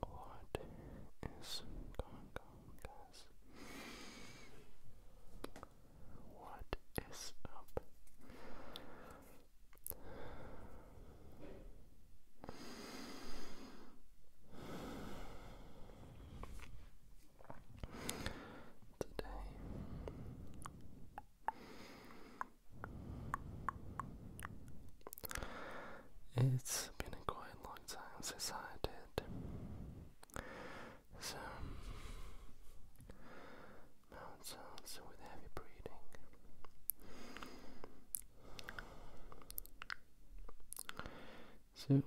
What is going What is up? today. It's been a quite long time since I did some mouth sounds with heavy breathing. So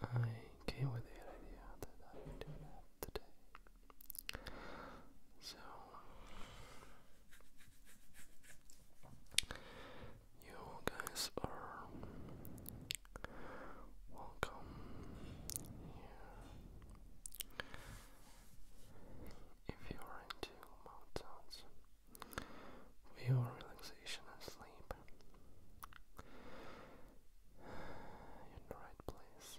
I came with the idea that I do that today. So you guys are welcome here. If you are into mountains we are relaxation and sleep. in the right place.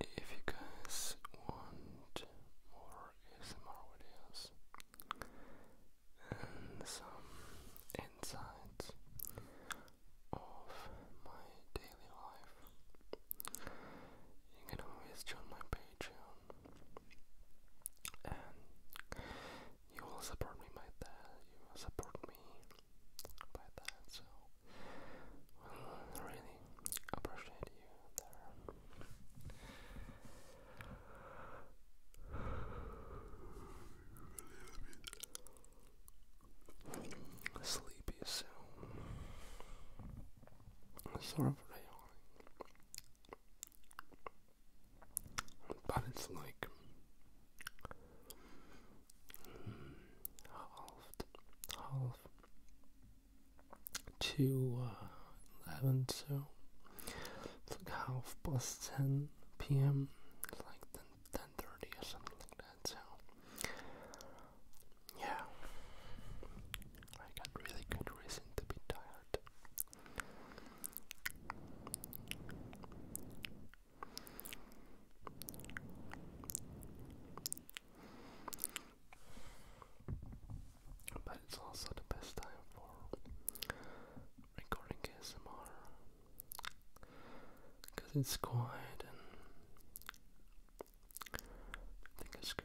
If you guys want more S M R videos and some insights of my daily life, you can always join my Patreon, and you will support me by that. You will support me by that. So, really appreciate you there. Sleepy soon sort of railing, but it's like half, half to uh, eleven, so it's like half past ten p.m. It's like ten, ten thirty or something like that. So, yeah, I got really good reason to be tired. But it's also the best time for recording ASMR because it's quiet and I think it's good.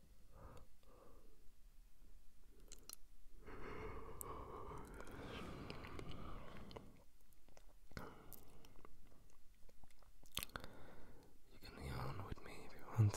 You can yawn with me if you want.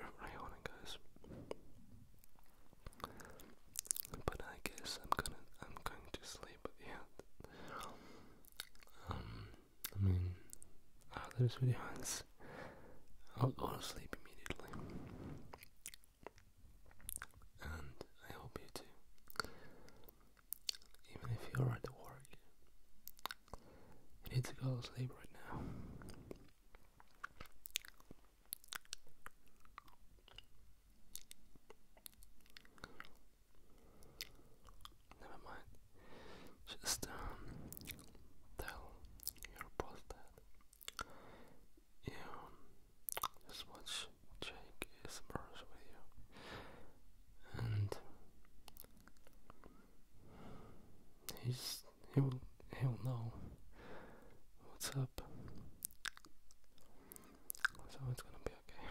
Sorry for my guys. But I guess I'm gonna I'm going to sleep yet. Um, I mean after this video ends I'll go to sleep immediately. And I hope you do. Even if you're at work. You need to go to sleep right now. Never mind. Just um, tell your boss that you um, just watch Jake is brush with you, and he's he'll he'll know what's up. So it's gonna be okay.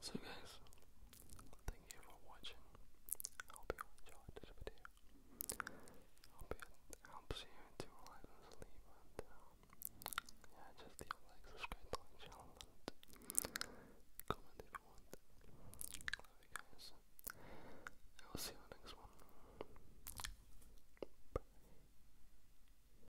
So guys, thank you for watching. I hope you enjoyed this video. I hope it helps you to relax and sleep and um, yeah, just leave like, subscribe to and comment if you want. Love you guys. I will see you next one. Bye.